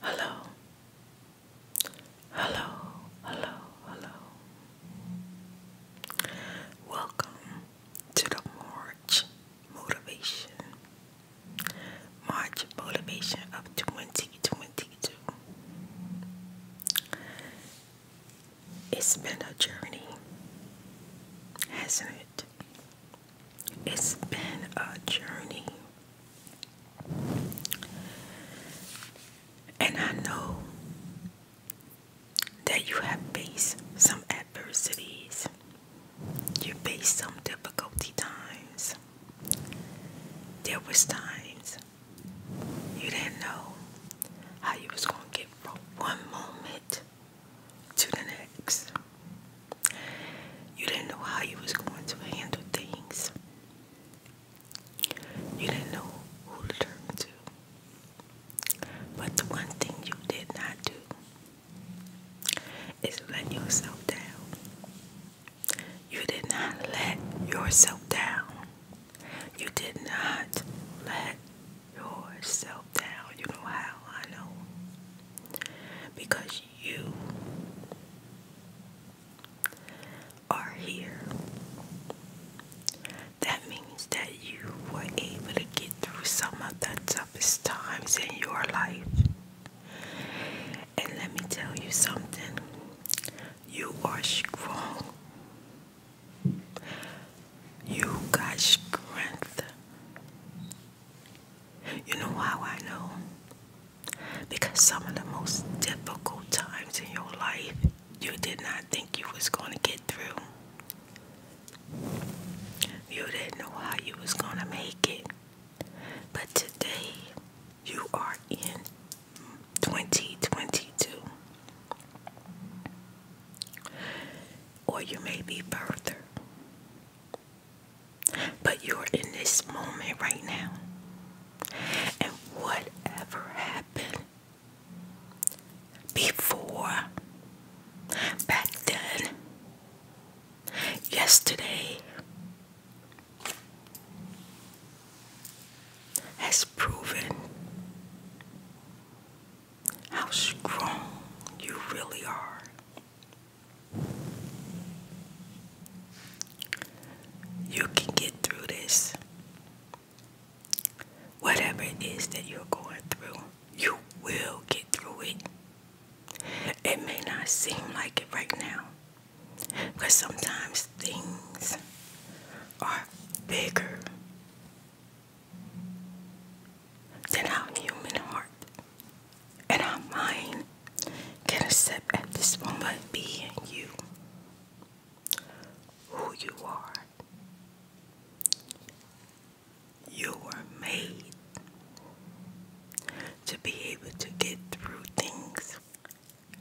Hello. Hello. Hello. Hello. Welcome to the March Motivation. March Motivation of 2022. It's been a journey, hasn't it? It's been a journey. And I know that you have faced some adversities, you faced some difficulty times. There was times you didn't know how you was gonna get from one moment to the next. You didn't know how you was going to handle things. You didn't know who to turn to. But the one thing you did not do is let yourself down. You did not let yourself down. You did not let yourself down. You know how I know because you are here. That means that you were able to get through some of the toughest times in your life. And let me tell you something you are strong. You got strength. You know how I know? Because some of the most difficult times in your life you did not think you was going to get through. You didn't know how you was going to make it. But today you are in 2022 or you may be further. But you're in this moment right now. And whatever happened before, back then, yesterday, has proven how strong you really are. You can get through this. Whatever it is that you're going through, you will get through it. It may not seem like it right now, but sometimes things are bigger then our human heart and our mind can accept at this moment being you, who you are. You were made to be able to get through things,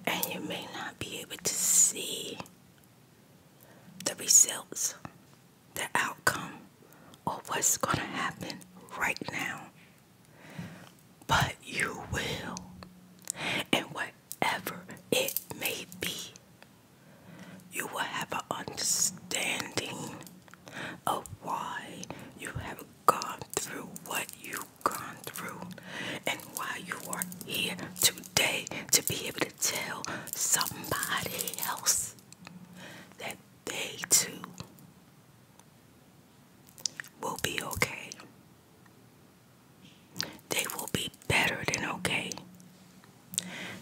and you may not be able to see the results the outcome or what's going to happen right now. But you will. And whatever it may be, you will have an understanding of why you have gone through what you've gone through and why you are here today day to be able to tell somebody else that they too will be okay. They will be better than okay.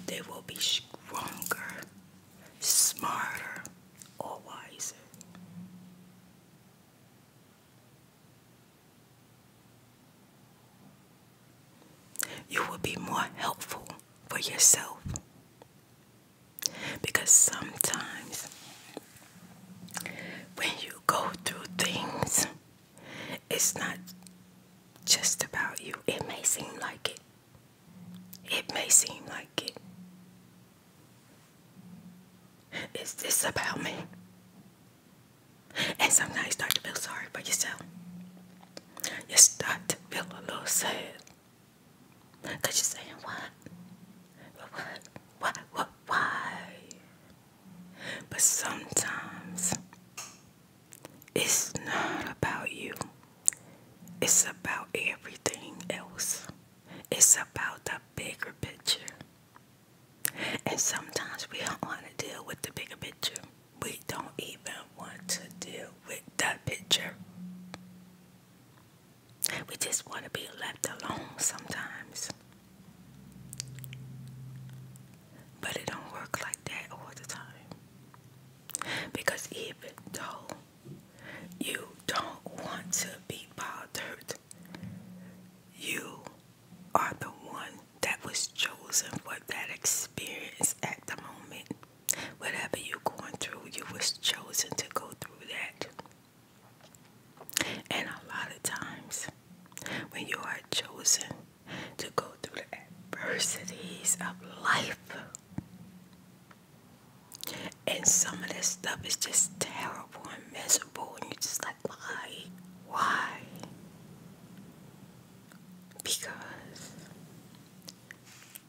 They will be stronger, smarter, or wiser. You will be more helpful for yourself. Because sometimes when you go through things, it's not just about you. It may seem like it. It may seem like it. Is this about me? And sometimes you start to feel sorry for yourself. You start to feel a little sad. Because you're saying, what? What? What? What? Why? But sometimes it's not about you. It's about everything else. It's about the bigger picture. And sometimes we don't want to deal with the bigger picture we don't even want to deal with that picture. We just want to be left alone sometimes. But it don't work like that all the time. Because even though you don't want to be bothered, you are the one that was chosen for that experience at the moment. Whatever you're going through, you was chosen to go through that. And a lot of times, when you are chosen to go through the adversities of life, and some of this stuff is just terrible and miserable, and you're just like, why? Why? because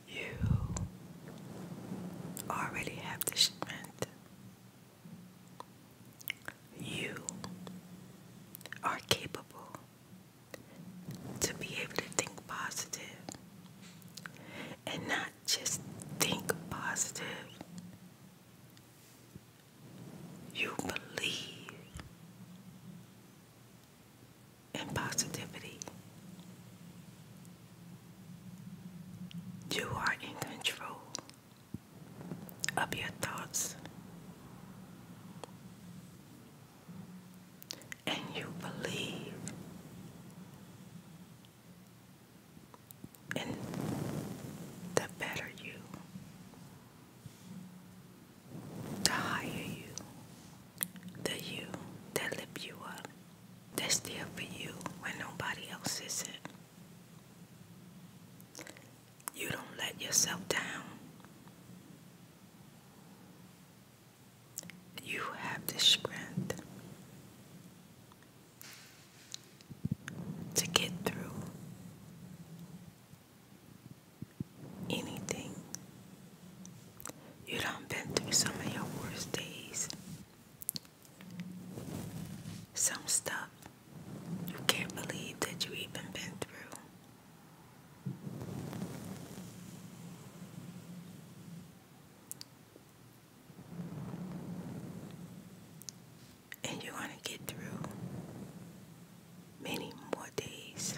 you already have the strength. You are capable to be able to think positive and not just think positive, you believe in positivity. You are in control of your thoughts. And you believe and the better you, the higher you, the you that lift you up, that's there for you when nobody else is it. You don't let yourself down. You have the strength to get through anything. You done been through some of your worst days. Some stuff you can't believe that you even been through and you're going to get through many more days.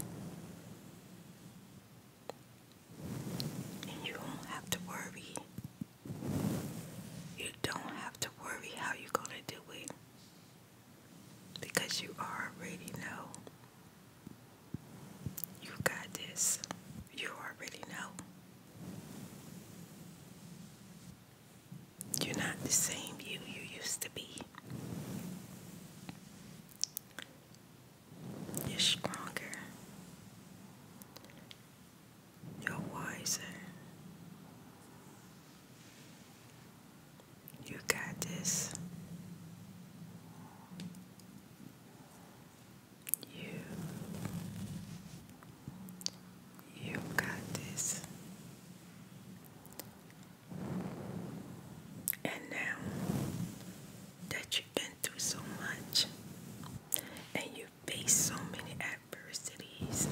And you don't have to worry. You don't have to worry how you're going to do it because you already know. You got this. You already know. You're not the same you you used to be. You're stronger. You're wiser. You got this. You you got this. And now that you've been through so much and you've faced so many adversities,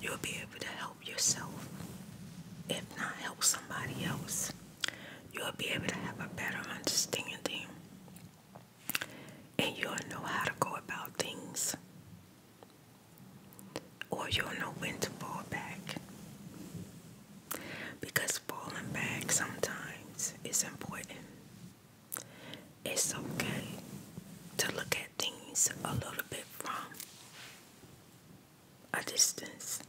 you'll be able to help yourself, if not help somebody else. You'll be able to have a better understanding and you don't know how to go about things, or you don't know when to fall back. Because falling back sometimes is important. It's okay to look at things a little bit from a distance.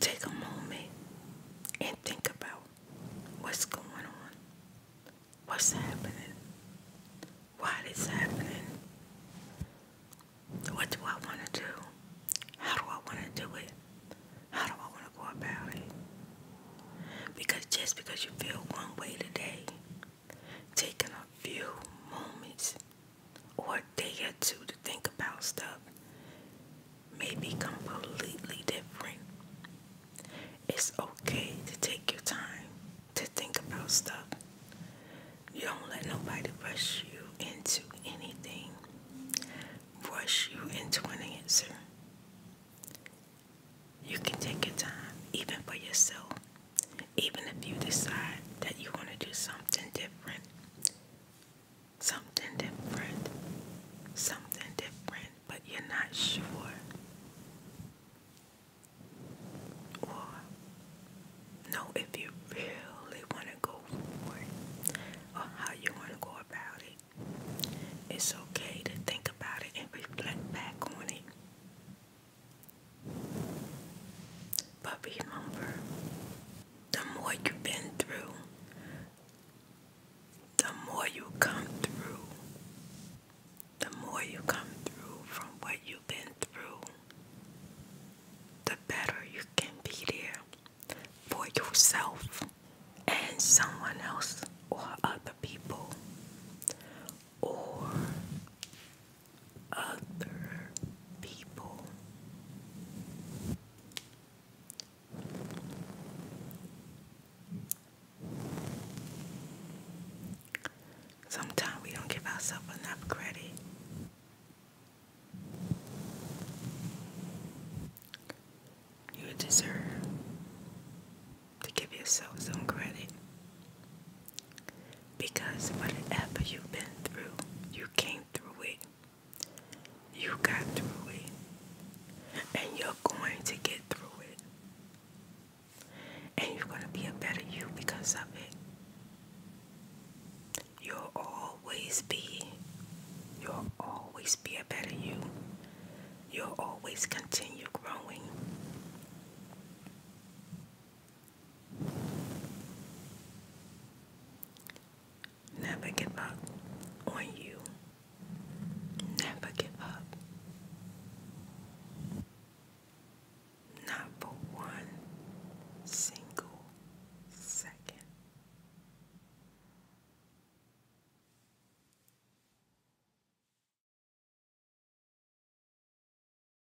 Take a moment and think about what's going on, what's happening, why this happening, what do I want to do, how do I want to do it, how do I want to go about it. Because just because you feel one way today, taking a few moments or a day or two to think about stuff may be completely different. It's okay to take your time to think about stuff. You don't let nobody rush you into anything, rush you into an answer. You can take your time, even for yourself, even if you decide that you want to do something different something different, something different, but you're not sure. Or, know if you really want to go for it or how you want to go about it. It's okay to think about it and reflect back on it. But remember, the more you've been through, the more you come through. The more you come through from what you've been through, the better you can be there for yourself and someone else or other people or other people. Sometimes we don't give ourselves enough credit. You deserve to give yourself some credit. Because whatever you've been through, you came through it. You got through it. And you're going to get through it. And you're going to be a better you because of it. You'll always be. You'll always be a better you. You'll always continue growing. Never give up on you. Never give up. Not for one single second.